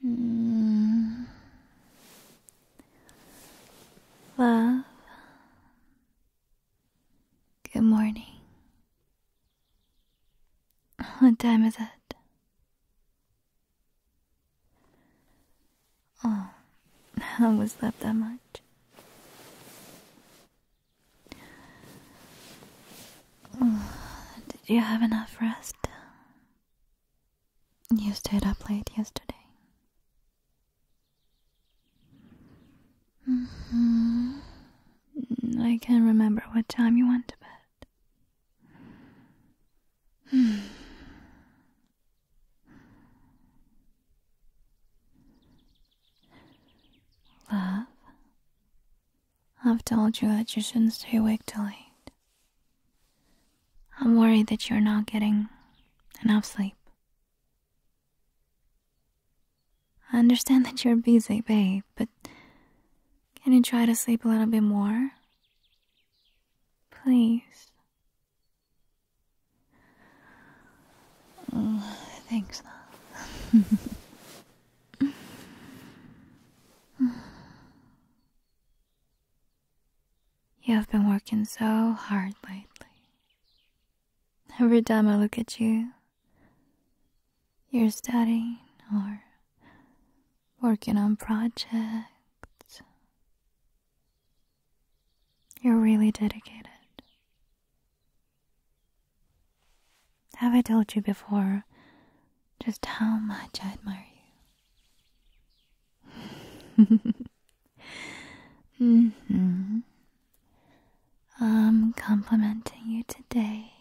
Hmm. Love, good morning. What time is it? Oh, I always slept that much. did you have enough rest? You stayed up late yesterday. Mm-hmm. I can't remember what time you went to bed. Love, I've told you that you shouldn't stay awake till late. I'm worried that you're not getting enough sleep. I understand that you're busy, babe, but can you try to sleep a little bit more? Please thanks, love. you have been working so hard lately. Every time I look at you, you're studying or working on projects. You're really dedicated. Have I told you before just how much I admire you? Mm-hmm. I'm complimenting you today.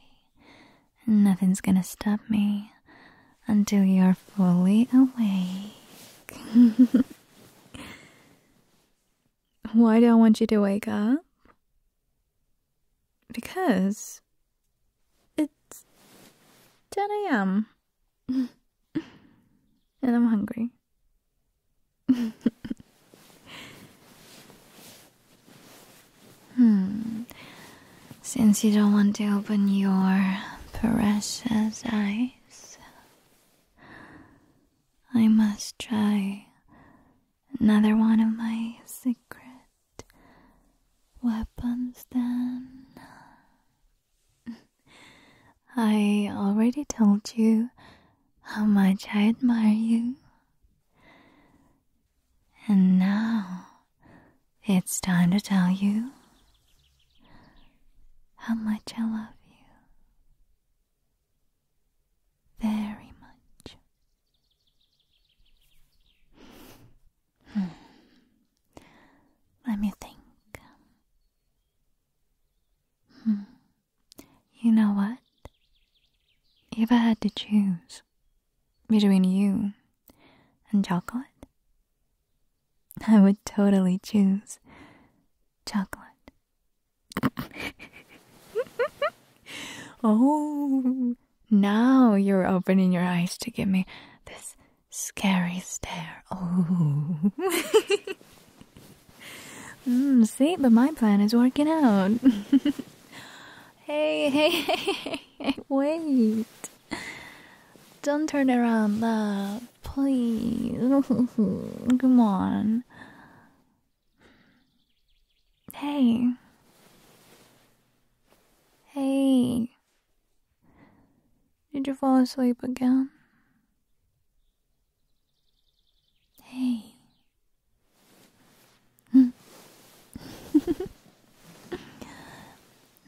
Nothing's gonna stop me until you're fully awake. Why do I want you to wake up? Because it's 10 a.m. and I'm hungry. hmm. Since you don't want to open your precious eyes. I must try another one of my secret weapons then. I already told you how much I admire you. And now it's time to tell you how much I love you. Very much. Hmm. Let me think. Hmm. You know what? If I had to choose between you and chocolate, I would totally choose chocolate. oh, now you're opening your eyes to give me this scary stare. Oh. Hmm, see, but my plan is working out. hey, hey, hey, hey, wait. Don't turn around, love. Please. Come on. Hey. Hey. Did you fall asleep again? Hey.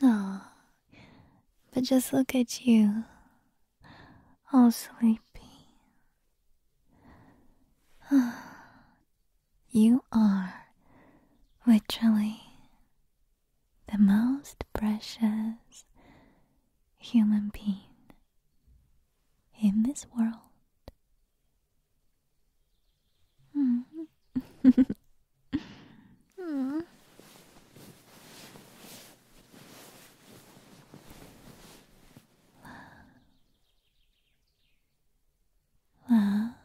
no, but just look at you, all sleepy. you are literally the most precious human being in this world. Hmm. Mm. Love.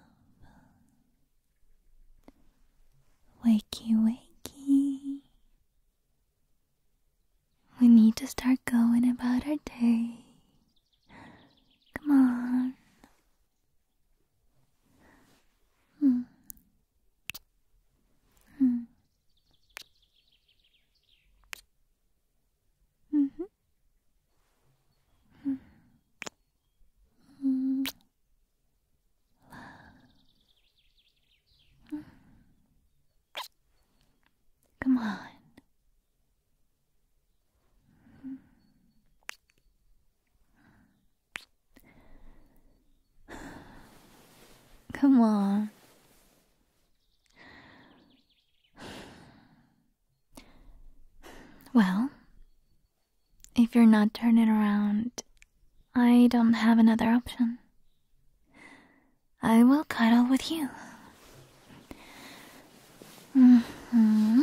Wakey, wakey. We need to start going about our day. Come on, うんうんうんうんうん Come on. Come on. Well, if you're not turning around, I don't have another option. I will cuddle with you. Mm-hmm.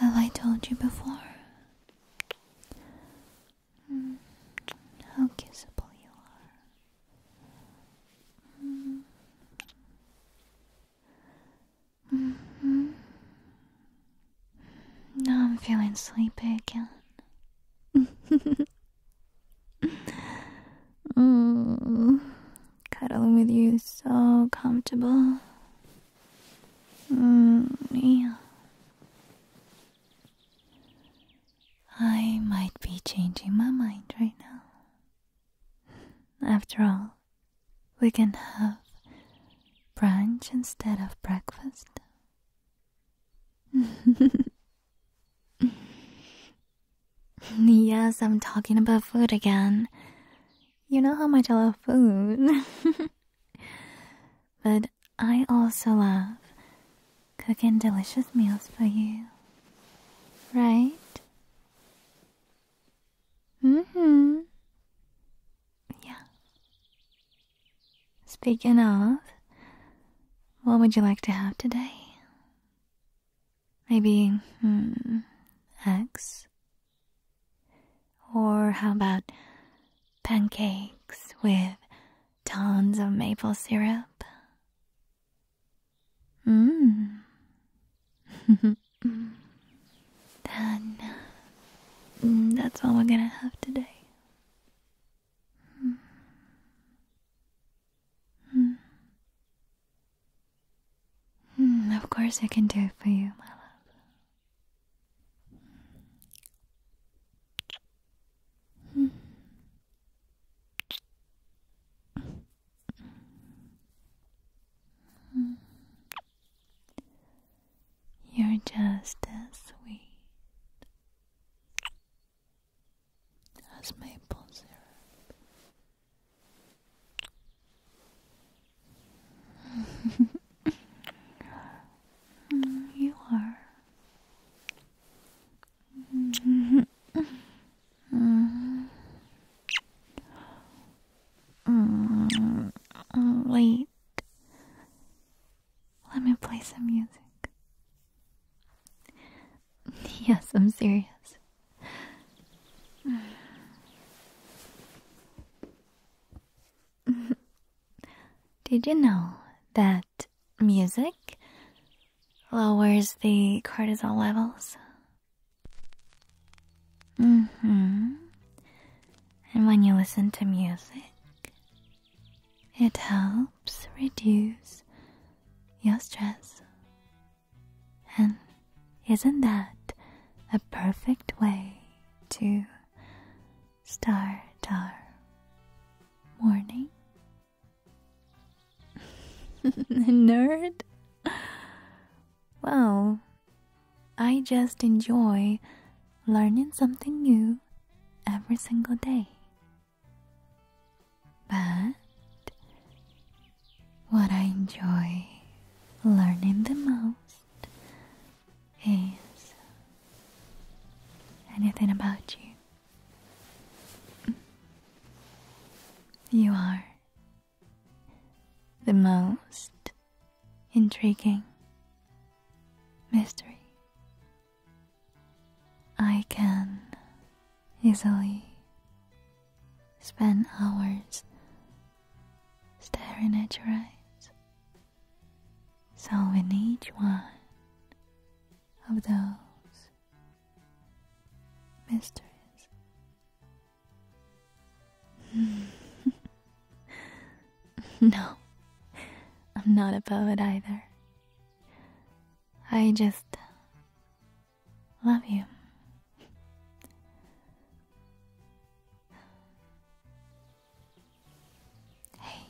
Have I told you before how kissable you are? Now I'm feeling sleepy again. mm, cuddling with you is so comfortable. Mm, yeah. I might be changing my mind right now. After all, we can have brunch instead of breakfast. yes, I'm talking about food again. You know how much I love food. but I also love cooking delicious meals for you. Right? hmm. Yeah. Speaking of, what would you like to have today? Maybe, hmm, eggs? Or how about pancakes with tons of maple syrup? Mmm. then mm, that's all we're gonna have today. Mm, of course, I can do it for you, my love. You're just as sweet as maple syrup. you are. Mm -hmm. -hmm. -hmm. Wait. Let me play some music. Yes, I'm serious. Did you know that music lowers the cortisol levels? hmm. And when you listen to music, it helps reduce your stress. And isn't that a perfect way to start our morning? Nerd? Well, I just enjoy learning something new every single day. But what I enjoy learning the most is anything about you. You are the most intriguing mystery. I can easily spend hours staring at your eyes. solving each one of those mysteries, no, I'm not a poet either. I just love you. Hey,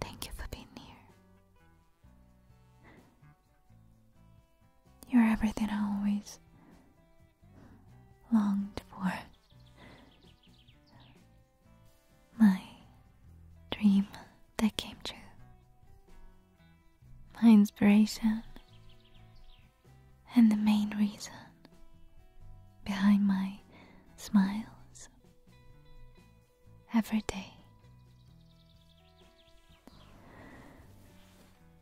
thank you for being here. You're everything I always longed for. My dream that came true. My inspiration and the main reason behind my smiles every day.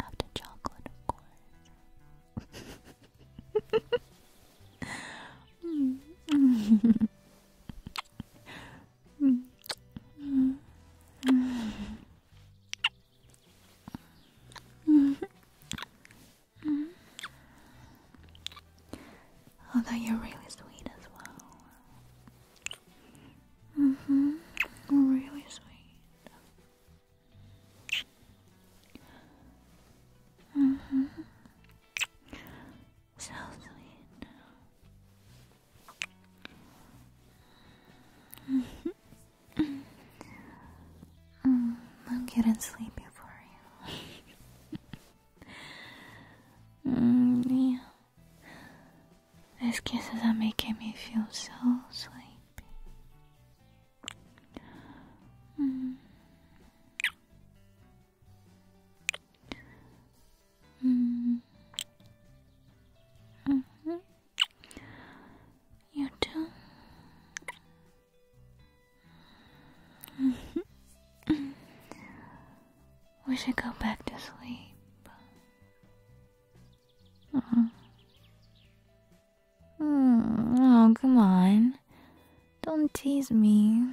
After chocolate, of course. Although you're really sweet as well. Mhm. really sweet hmm So sweet. mm, I'm getting sleepy for you. mm, yeah. These kisses are making me feel so sleepy. Mm. Mm. -hmm. You too. we should go back to sleep. Hmm, oh, come on. Don't tease me.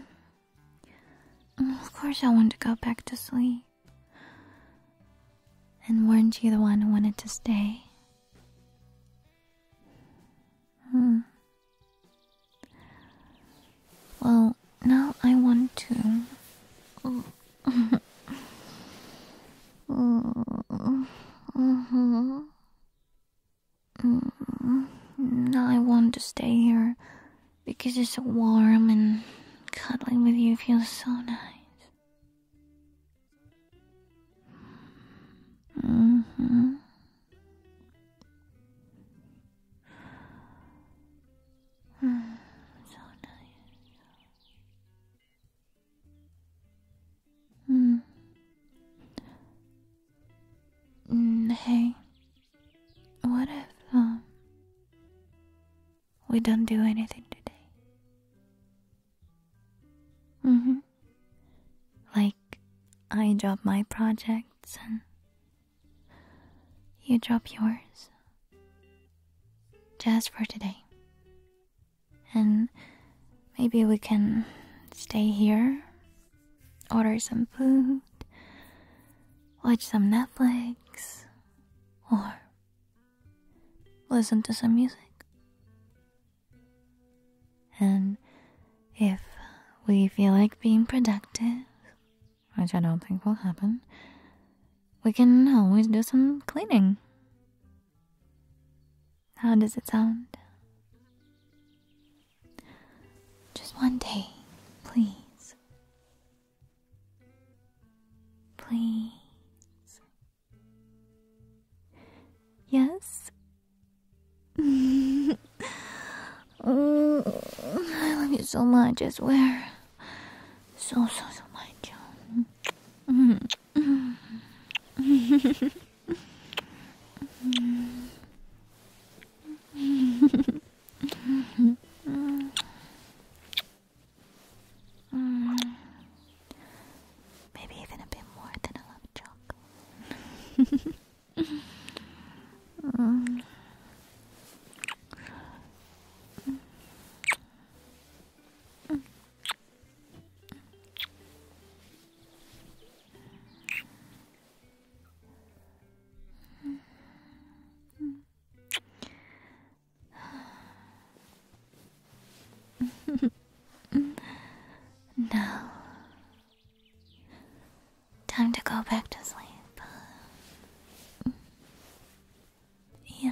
Mm, of course, I want to go back to sleep. And weren't you the one who wanted to stay? Hmm. Well, now I want to. Mm-hmm. Mm-hmm. I want to stay here because it's so warm and cuddling with you feels so nice. Mm-hmm. Mm, 嗯，嗯，Hey, mm. mm, what if um, we don't do anything today? Mm-hmm. Like I drop my projects and you drop yours. Just for today. And maybe we can stay here, order some food, watch some Netflix, or listen to some music. And if we feel like being productive, which I don't think will happen, we can always do some cleaning how does it sound? Just one day, please. Please. Yes? I love you so much, I swear. So, so, so much. Maybe even a bit more than I chocolate. now, time to go back to sleep. Yeah.